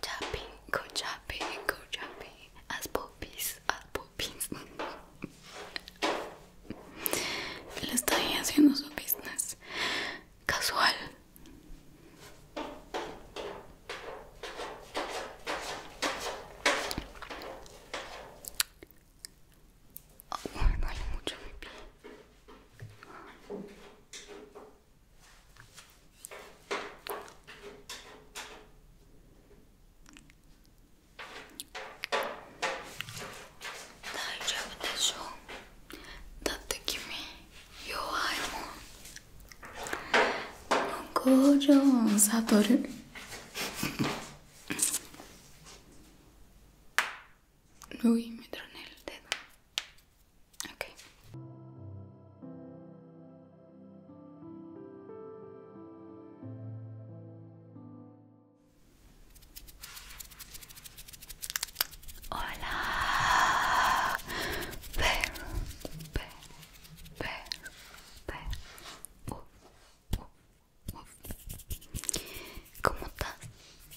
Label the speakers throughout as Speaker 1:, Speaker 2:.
Speaker 1: Chapping, go chapping, go chapping. Haz popis, haz Él está ahí haciendo su business casual. me oh, duele mucho mi pie. 大丈夫でしょだって君弱いもんこの工五条悟 Uy, me troné el dedo. Ok. Hola. Per Per Per Per Uf, uh, uf, uh, uf. Uh. ¿Cómo estás?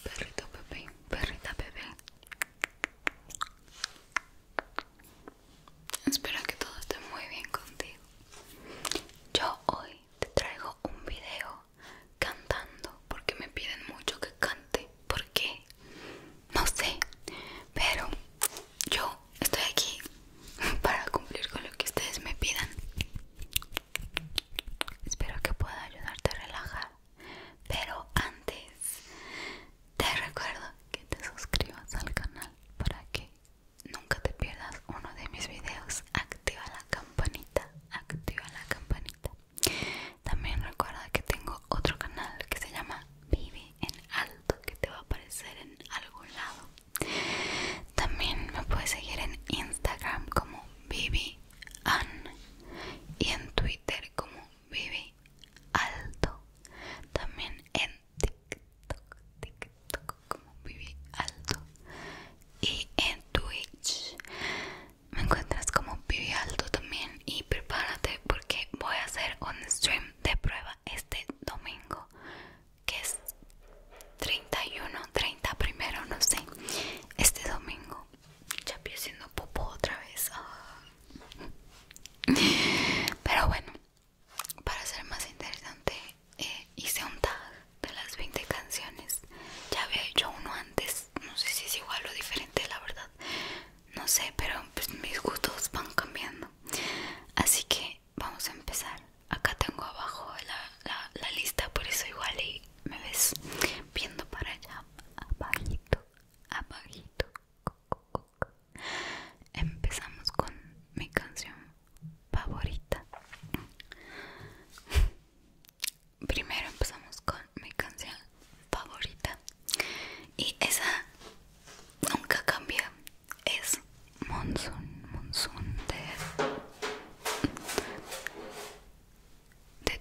Speaker 1: Perrito bebé, perrita bebé. Espero que todo esté muy bien contigo. Yo hoy te traigo un video cantando porque me piden mucho que cante. ¿Por qué? No sé, pero yo estoy aquí para cumplir con lo que ustedes me pidan. Espero que pueda ayudarte a relajar pero antes, te recuerdo que te suscribas al canal para que nunca te pierdas uno de mis videos. Activa la campanita, activa la campanita. También recuerda que tengo otro canal que se llama Vivi en Alto, que te va a aparecer en algún lado. También me puedes seguir en Instagram como Vivi y en Twitter como Vivi Alto. También en TikTok, TikTok como Vivi Alto. Y en Twitch me encuentras como Vivi Alto también. Y prepárate porque voy a hacer un stream de prueba este domingo que es 31, 30 primero, no sé, este domingo ya estoy haciendo popo otra vez. Ah. Pero bueno, para ser más interesante, eh, hice un tag de las 20 canciones. Ya había hecho uno antes, no sé si es igual o diferente, la verdad. No sé, pero pues, mis gustos van cambiando. Así que vamos a empezar. Acá tengo abajo la, lista, por eso igual me ves viendo para allá abajito abajito empezamos con mi canción favorita primero empezamos con mi canción favorita y esa nunca cambia es monsoon monsoon de de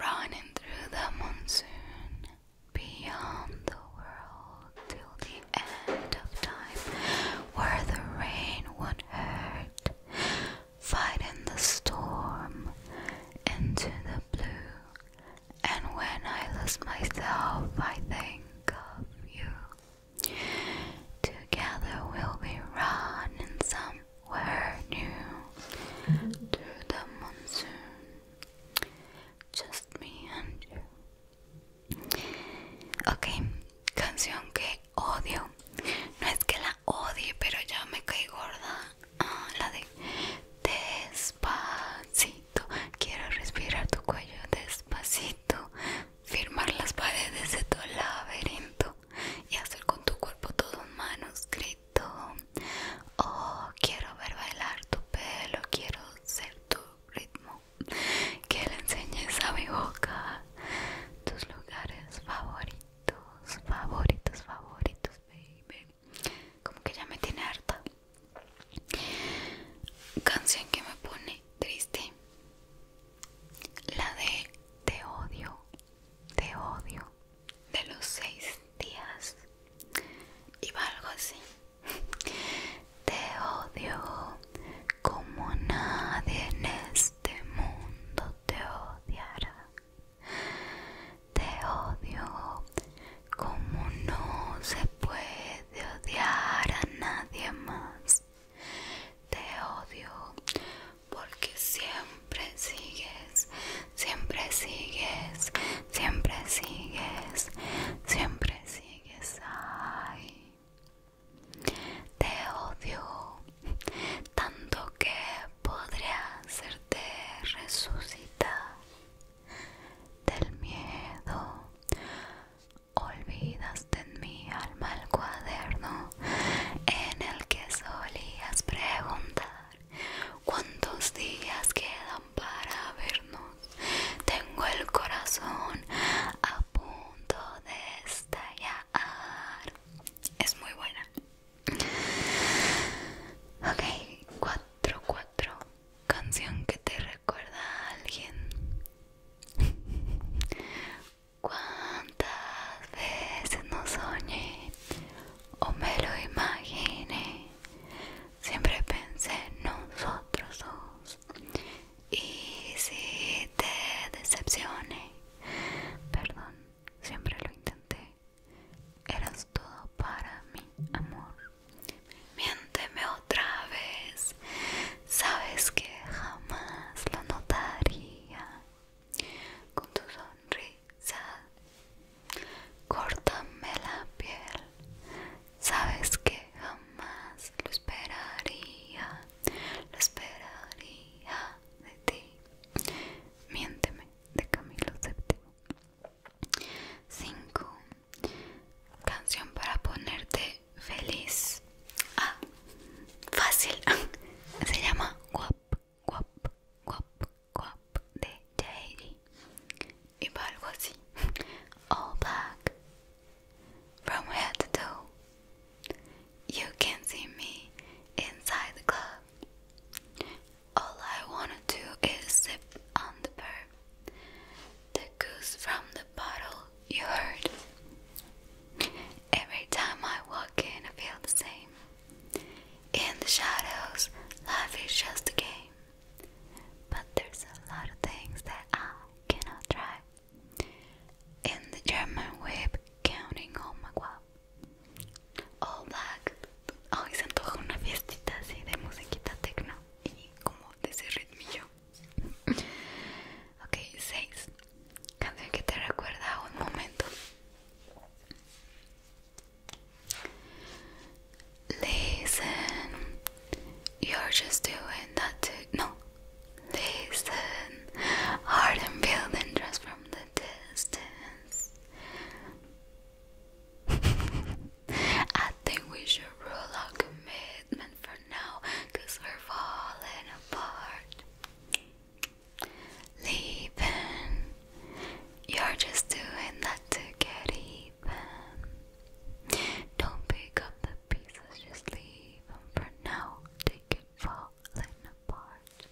Speaker 1: Running through the monsoon, beyond the world till the end of time, where the rain won't hurt, fighting the storm into the blue. And when I lose myself, I think of you. Together we'll be running somewhere new through the monsoon. Just me and you. Ok, canción que odio. No es que la odie, pero ya me caí gorda. ah, la de despacito. Quiero respirar tu cuello despacito, firmar las paredes de tu laberinto y hacer con tu cuerpo todo un manuscrito. Oh, quiero ver bailar tu pelo, quiero ser tu ritmo. Que le enseñes a mi boca tus lugares favoritos, favoritos, favoritos, como que ya me tiene harta canción que me pone triste la de te odio te odio de los seis días y va algo así te odio como nadie en este mundo te odiará te odio como no se puede odiar a nadie más. Te odio porque siempre sigues, siempre sigues, siempre sigues, siempre sigues. Ay. Te odio tanto que podría hacerte resucitar del miedo. Olvidaste en mi alma el cuaderno en el que solías preguntar cuántos días quedan para vernos. Tengo el corazón a punto de estallar. Es muy buena. Ok, 4-4 Canción que te recuerda a alguien. ¿Cuántas veces no soñé o me lo imaginé? Siempre pensé en nosotros dos. Y si te decepcioné, perdón siempre lo intenté. Eras todo para mi amor. Miénteme otra vez. Sabes que jamás lo notaría. Con tu sonrisa, córtame la piel. Sabes que jamás lo esperaría. Lo esperaría de ti. Miénteme de Camilo VII. 5. Canción para ponerte feliz. Ah, fácil. Se llama Guap, Guap, Guap, Guap de J.D. Y va algo así. All back From head to toe. You can see me inside the club. All I wanna do is sip on the burp, the goose from the bottle you heard. Every time I walk in, I feel the same. In the shadows, life is just a game. But there's a lot of things that I cannot try. In the German whip, counting on my guap. all oh, black hoy se antoja una fiestita así de musiquita tecno y como de ese ritmillo ok 6 canción que te recuerda a un momento listen you're just doing that to no Listen, hard and building just from the distance. I think we should rule our commitment for now, cause we're falling apart. Leaving, you're just doing that to get even. Don't pick up the pieces, just leave them for now. Take fallen apart.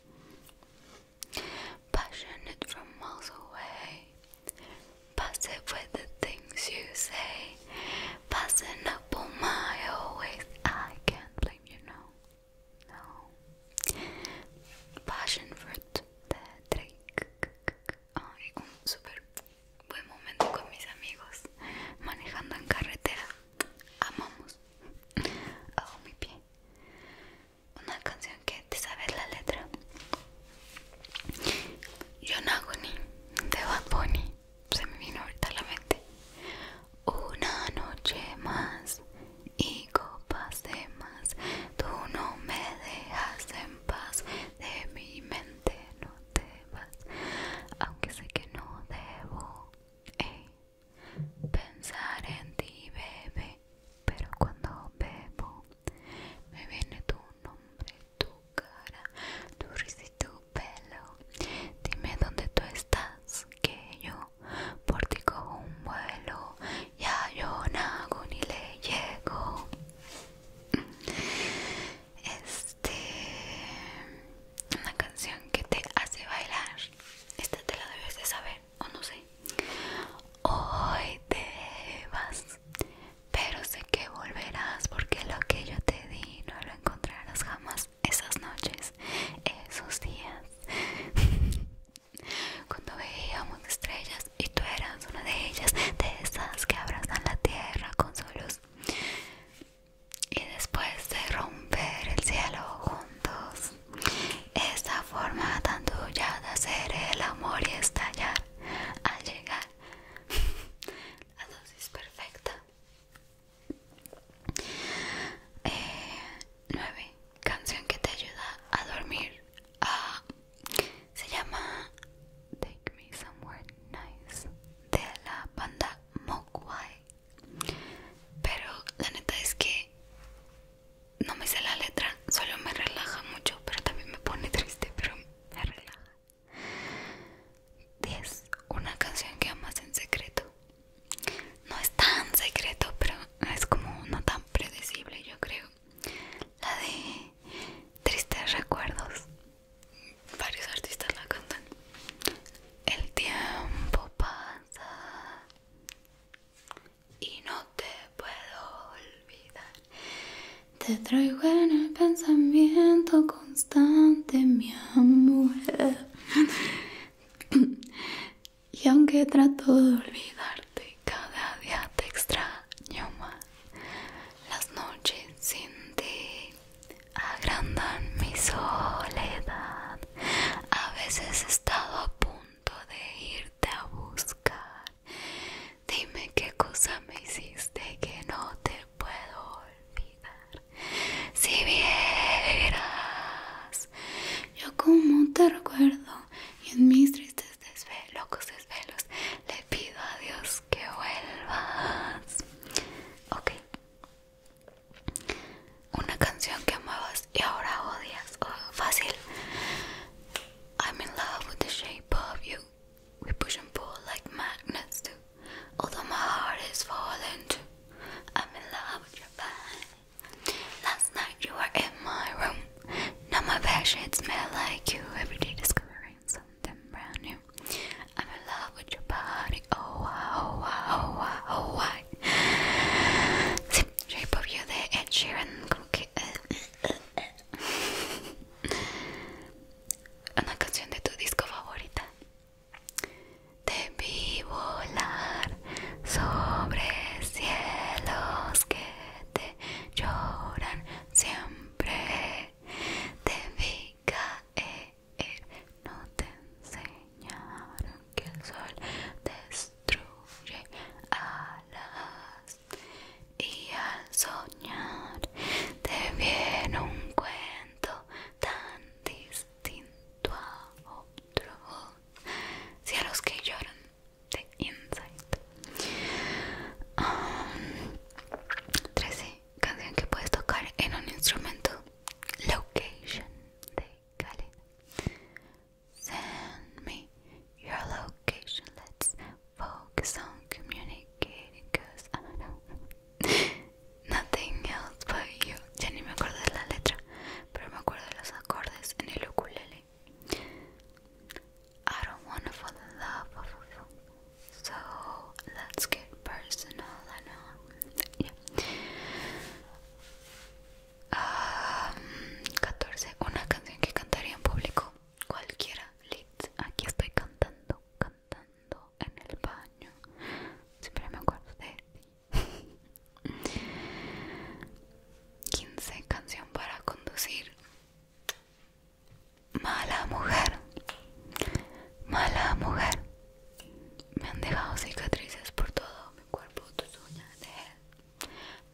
Speaker 1: Passionate from miles away, passive with the things you say, passing up on my always. I can't blame you, no, no. Passion fruit de Drake. Ay, un super buen momento con mis amigos, manejando en carretera. Amamos. Hago mi pie una canción que te sabes la letra Yonaguni de Bad Bunny se me vino ahorita a la mente una noche más y copas de más tú no me dejas en paz de mi mente no te vas aunque sé que no debo eh pensar en ti, bebé, pero cuando bebo me viene tu nombre, tu cara, tu risa y tu pelo. Dime dónde tú estás, que yo por ti cojo un vuelo, ya yo nago ni le llego. Este una canción que te hace bailar esta te la debes de saber o no sé hoy te vas pero sé que volverás porque lo que yo te di no lo encontrarás jamás esas noches esos días cuando veíamos estrellas y tú eras una de ellas de esas que abrazan la tierra con su luz y después de romper el cielo juntos esta forma tan tuya de hacer el amor y estallar al llegar la dosis perfecta eh, Nueve canción que te ayuda a dormir se llama Take Me Somewhere Nice de la banda Mogwai pero la neta es que no me sé la letra, solo me relaja mucho, pero también me pone triste, pero me relaja. 10. Una canción que amas en secreto. No es tan secreto, pero es como no tan predecible, yo creo. La de Tristes Recuerdos varios artistas la cantan. El tiempo pasa y no te puedo olvidar. Te traigo en el pensamiento constante, mi amor. y aunque trato de olvidarte, cada día te extraño más. Las noches sin ti agrandan mi soledad. A veces he estado a punto de irte a buscar. Dime qué cosa me hiciste que no te puedo olvidar. Si vieras, yo como te recuerdo y en mis tristes desvelos, locos desvelos, le pido a Dios que vuelvas. Ok. Una canción que amabas y ahora odias. Oh, fácil. I'm in love with the shape of you. We push and pull like magnets do. Although my heart is falling too. I'm in love with your body. Last night you were in my room. Now my bed sheets smell like you. Every day discovering something brand new. I'm in love with your body. Oh, wow, oh, wow, wow, wow. Sí, Shape of You de Ed Sheeran, como que. Eh, eh, eh. Una canción de tu disco favorita. Te vi volar sobre cielos que te lloran siempre. Te vi caer no te enseñaron que el sol destruye alas y al soñar te viene un cuento tan distinto a otro. Cielos que lloran de Insight. Ah, canción que puedes tocar en un instrumento Location de Khaled Send me your location Let's focus on communicating because I don't know Nothing else but you Ya ni me acuerdo de la letra Pero me acuerdo de los acordes en el ukulele I don't wanna fall in love So let's get personal and 14. Um, una canción que cantaría en público. Cualquiera. Aquí estoy cantando, cantando en el baño. Siempre me acuerdo de ti. 15. Canción para conducir. Mala mujer. Mala mujer. Me han dejado cicatrices por todo mi cuerpo, tus uñas,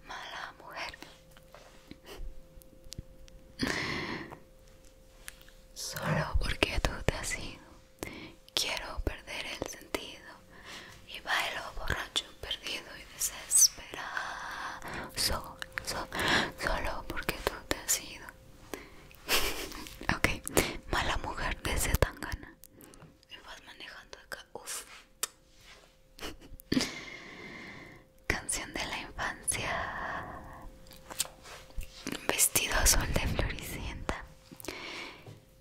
Speaker 1: Mala mujer. Solo porque tú te has ido. Quiero perder el sentido. Y bailo borracho, perdido y desesperado. solo porque tú te has ido. ok, mala mujer de tan Tangana. Me vas manejando acá, Uf. Canción de la infancia. Vestido azul de floricienta.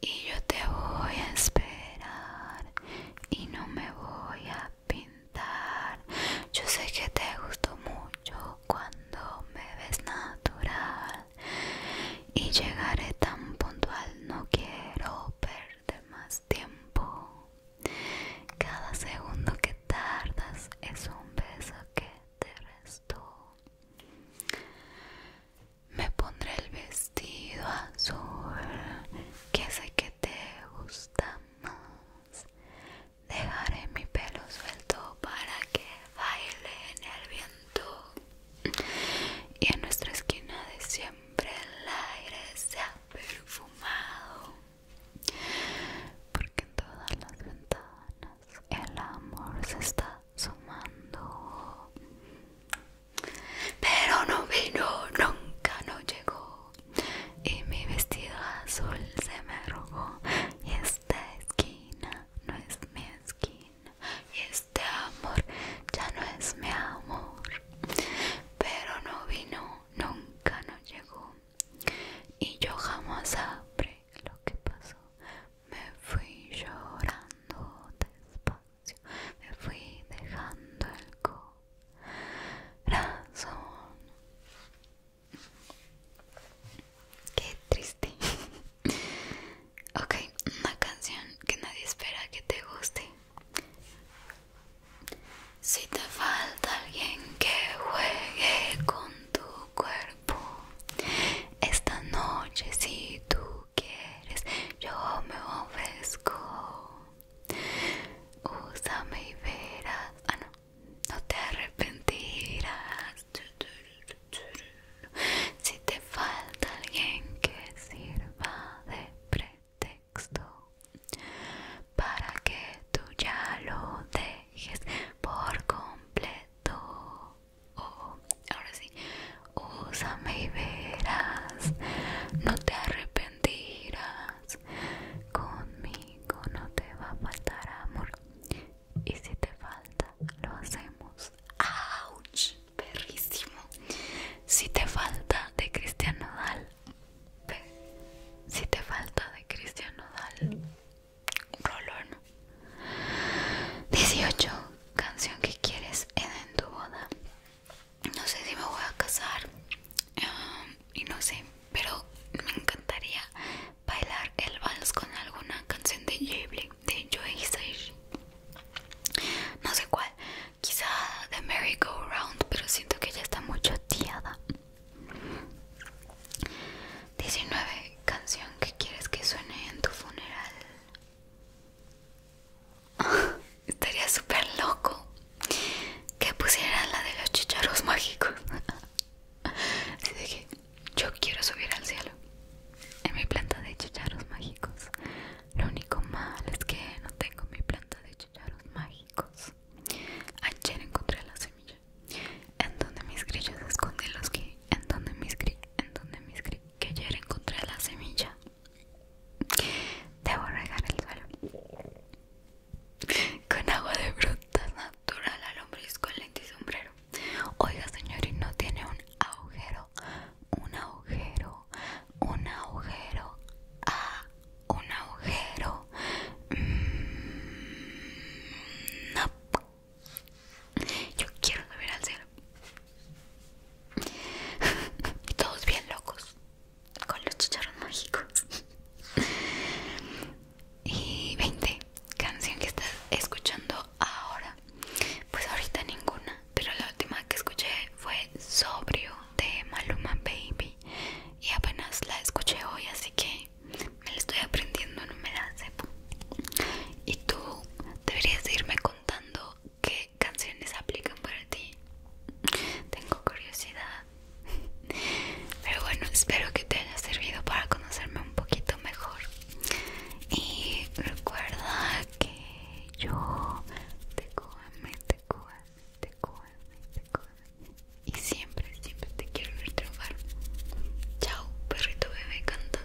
Speaker 1: Y yo te voy a esperar. Y no me voy a pintar Yo sé que te gustó mucho cuando me ves natural Y llegaré tan puntual, no quiero perder más tiempo Cada segundo que tardas es un beso que te restó me pondré el vestido azul que sé que te gusta más. Dejaré mi pelo suelto para que baile en el viento y en nuestra esquina de siempre el aire se ha perfumado porque en todas las ventanas el amor se está sumando pero no vino nunca no llegó y mi vestido azul se me rogó y esta esquina no es mi esquina y este amor ya no es mi amor pero no vino nunca no llegó y yo jamás sabré lo que pasó me fui llorando despacio me fui dejando el co razón. Qué triste. ok, una canción que nadie espera que te guste. Si te falta alguien que juegue con tu cuerpo, esta noche si tú quieres, yo me ofrezco. Úsame y verás. Ah, no. No te arrepentirás. Si te falta alguien que sirva de pretexto para que tú ya lo dejes por completo. Oh, oh. ahora sí, úsame y verás. No te arrepentirás. Mentiras, Conmigo no te va a faltar amor. Y si te falta, lo hacemos. ¡Auch! Perrísimo. Si te falta de Cristian Nodal. Si te falta de Cristian Nodal. Rolón. 18. Canción que quieres en tu boda no sé si me voy a casar y no sé, pero me encantaría bailar el vals con alguna canción de Joyce. de No sé cuál, quizá de Merry Go Round, pero siento que ya está mucho tiada 19. Canción que quieres que suene en tu funeral. Estaría súper loco que pusieran la de los chicharros mágicos. Así que yo quiero subir al cielo en mi planta de chicharros mágicos. Lo único mal es que no tengo mi planta de chicharros mágicos. Ayer encontré la semilla. En donde mis grillos escondí los que. En donde mis grillos. En donde mis Que ayer encontré la semilla. Debo regar el suelo. Con agua de frutas natural hombre es con lente y sombrero. Oiga, señor, ¿y no tiene un agujero? Un agujero, un agujero, ah, un agujero. Mm, no. Yo quiero subir al cielo. Todos bien locos con los chicharros mágicos. y 20, canción que estás escuchando ahora. Pues ahorita ninguna, pero la última que escuché fue Sobrio de Maluma Baby. Y apenas la escuché hoy, así que me la estoy aprendiendo, no me la Y tú deberías irme contando Que canciones aplican para ti. Tengo curiosidad. Pero bueno, espero que te haya servido para conocerme un poquito mejor. Y recuerda que yo te cojo te te Y siempre, siempre te quiero ver triunfar. Chao, perrito bebé cantante.